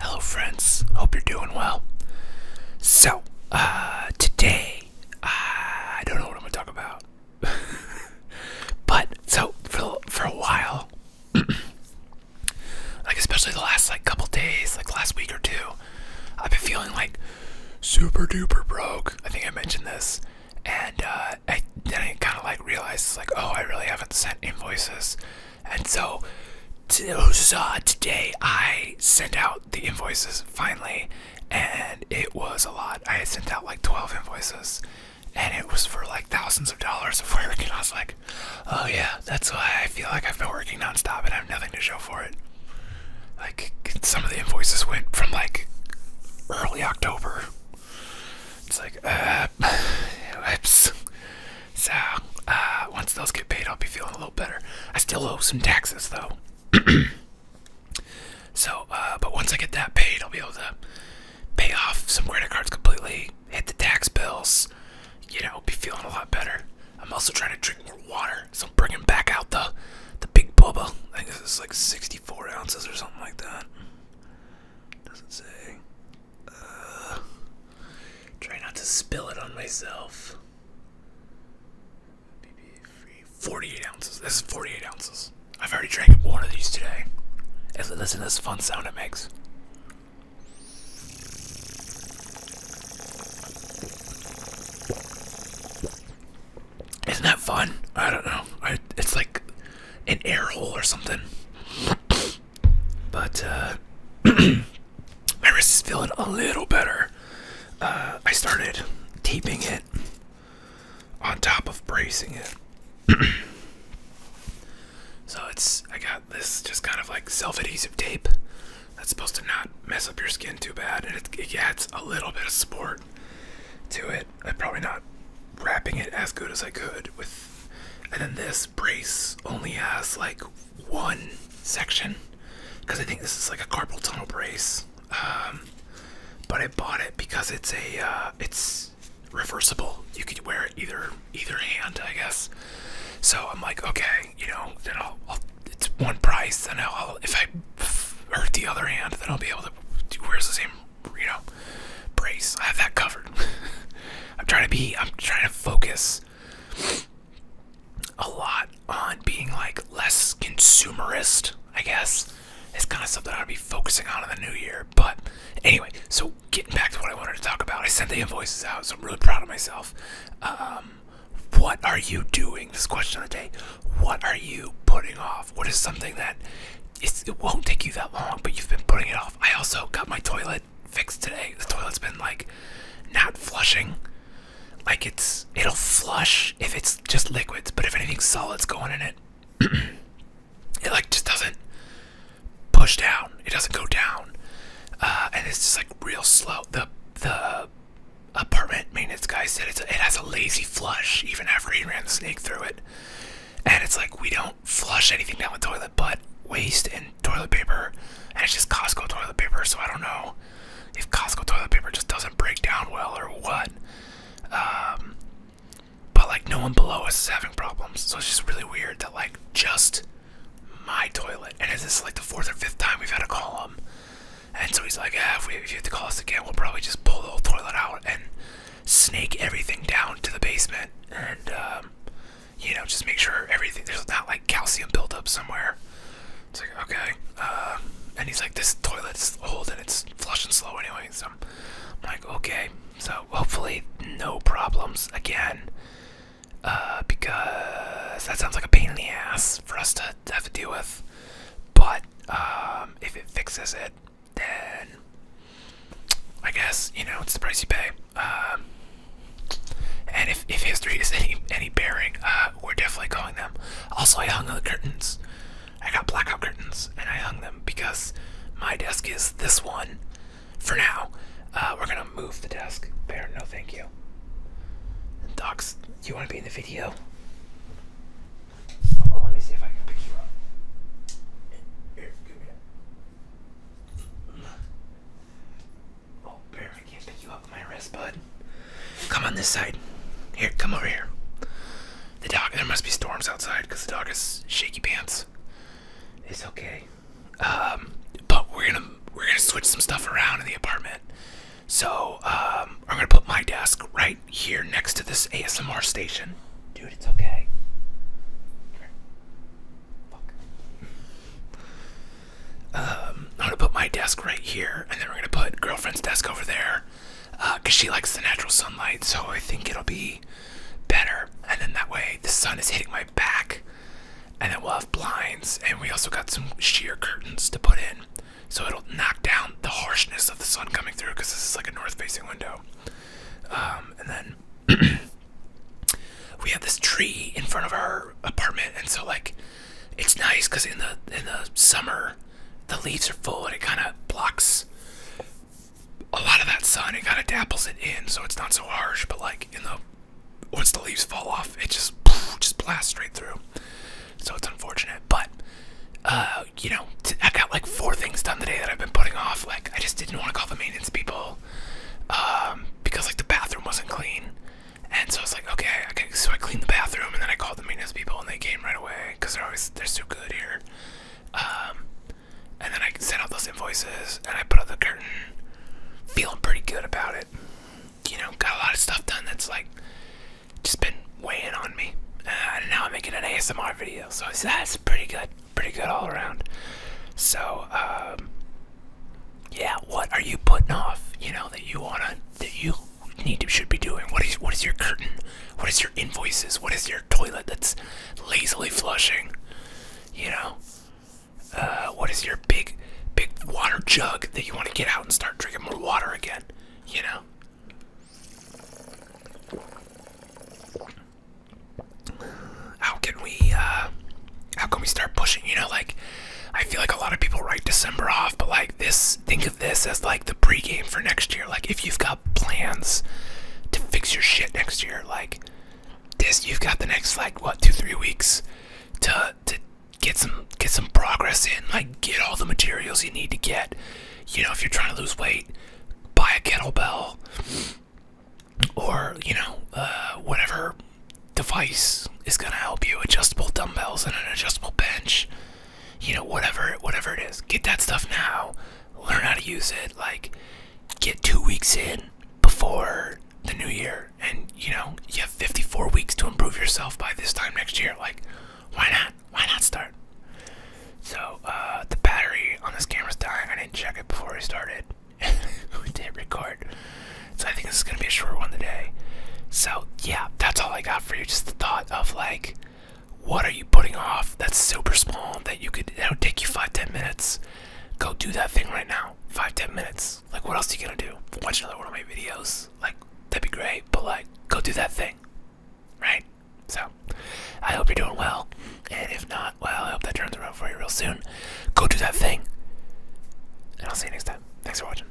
Hello, friends. Hope you're doing well. So, uh, today, uh, I don't know what I'm gonna talk about, but so for for a while, like especially the last like couple days, like last week or two, I've been feeling like super duper broke. I think I mentioned this, and uh, I, then I kind of like realized like, oh, I really haven't sent invoices and so today I sent out the invoices finally, and it was a lot. I had sent out like 12 invoices, and it was for like thousands of dollars of work. And I was like, oh yeah, that's why I feel like I've been working nonstop and I have nothing to show for it. Like, some of the invoices went from like early October it's like, uh, whoops. So, uh, once those get paid, I'll be feeling a little better. I still owe some taxes, though. so, uh, but once I get that paid, I'll be able to pay off some credit cards completely, hit the tax bills, you know, be feeling a lot better. I'm also trying to drink more water, so I'm bringing back out the the big bubba. I think this is like 64 ounces or something like that. Doesn't say. Uh, try not to spill it on myself. Forty-eight ounces. This is forty-eight ounces. I've already drank one of these today. And listen this fun sound it makes. Isn't that fun? I don't know. I, it's like an air hole or something. But uh, my wrist is feeling a little better. Uh, I started taping it on top of bracing it. so it's I got this just kind of like self-adhesive tape that's supposed to not mess up your skin too bad, and it, it gets a little bit of support to it. I'm probably not wrapping it as good as I could with. And then this brace only has like one section because I think this is like a carpal tunnel brace. Um, but I bought it because it's a uh, it's reversible. You could wear it either either hand, I guess. So I'm like, okay, you know, then I'll, I'll it's one price, and I'll if I hurt the other hand, then I'll be able to. Do, where's the same, you know, brace? I have that covered. I'm trying to be. I'm trying to focus a lot on being like less consumerist. I guess it's kind of something I'll be focusing on in the new year. But anyway, so getting back to what I wanted to talk about, I sent the invoices out, so I'm really proud of myself. Um, what are you doing? This question of the day. What are you putting off? What is something that it won't take you that long, but you've been putting it off? I also got my toilet fixed today. The toilet's been like not flushing. Like it's it'll flush if it's just liquids, but if anything solid's going in it, it like just doesn't push down. It doesn't go down, uh, and it's just like real slow. The the apartment maintenance guy said it has a lazy flush even after he ran the snake through it. And it's like we don't flush anything down the toilet but waste and toilet paper, and it's just Costco toilet paper. So I don't know if Costco toilet paper just doesn't break down well or what. Um, but like no one below us is having problems, so it's just really weird that like just my toilet, and this is like the fourth or fifth time we've had to call them? And so he's like, ah, if, we, you have to call us again, we'll probably just pull the whole toilet out and snake everything down to the basement. And, um, you know, just make sure everything, there's not like calcium buildup somewhere. It's like, okay. Uh, and he's like, this toilet's old and it's flushing slow anyway. So I'm like, okay. So hopefully, no problems again uh, because that sounds like a pain in the ass for us to have to deal with. But um, if it fixes it, then I guess you know it's the price you pay. Um, and if, if history is any any bearing, uh, we're definitely calling them. Also, I hung the curtains. I got blackout curtains, and I hung them because my desk is this one for now. Uh, we're gonna move the desk. Bear. no thank you. Docs, you wanna be in the video? Oh, Bear, I can't pick you up my wrist, bud. Come on this side. Here, come over here. The dog, there must be storms outside because the dog is shaky pants. It's okay. Um, but we're gonna we're gonna switch some stuff around in the apartment. So um, I'm gonna put my desk right here next to this ASMR station. Dude, it's okay. Um, I'm gonna put my desk right here, and then we're gonna put girlfriend's desk over there, uh, cause she likes the natural sunlight. So I think it'll be better. And then that way, the sun is hitting my back, and then we'll have blinds, and we also got some sheer curtains to put in, so it'll knock down the harshness of the sun coming through because this is like a north-facing window. Um, and then we have this tree in front of our apartment, and so like it's nice because in the in the summer the leaves are full and it kind of blocks a lot of that sun, it kind of dapples it in, so it's not so harsh. But like in the once the leaves fall off, it just just blasts straight through. So it's unfortunate, but uh, you know, I got like four things done today that I've been putting off. Like I just didn't want to call the maintenance people um, because like the bathroom wasn't clean, and so I was like, okay, okay. So I cleaned the bathroom, and then I called the maintenance people, and they came right away because they're always they're so good here. Um, and then I sent out those invoices and I put up the curtain. Feeling pretty good about it. You know, got a lot of stuff done that's like just been weighing on me. Uh, and now I'm making an ASMR video, so that's pretty good. Pretty good all around. So, um, yeah, what are you putting off? You know that you wanna that you need to should be doing. What is what is your curtain? What is your invoices? What is your toilet that's lazily flushing. You know, uh, what is your big, big water jug that you want to get out and start drinking more water again? You know. How can we, uh, how can we start pushing? You know, like, I feel like a lot of people write December off, but like this, think of this as like the pregame for next year. Like, if you've got plans to fix your shit next year. Like this, you've got the next like what two three weeks to to get some get some progress in. Like get all the materials you need to get. You know, if you're trying to lose weight, buy a kettlebell or you know uh, whatever device is gonna help you. Adjustable dumbbells and an adjustable bench you know whatever whatever it is get that stuff now learn how to use it like get two weeks in before the new year and you know you have 54 weeks to improve yourself by this time next year like why not why not start so uh the battery on this camera's dying i didn't check it before we started we did record so i think this is gonna be a short one today so yeah that's all i got for you just the thought of like what are you putting off? That's super small. That you could. it would take you five ten minutes. Go do that thing right now. Five ten minutes. Like what else are you gonna do? Watch another one of my videos. Like that'd be great. But like go do that thing. Right. So I hope you're doing well. And if not, well, I hope that turns around for you real soon. Go do that thing. And I'll see you next time. Thanks for watching.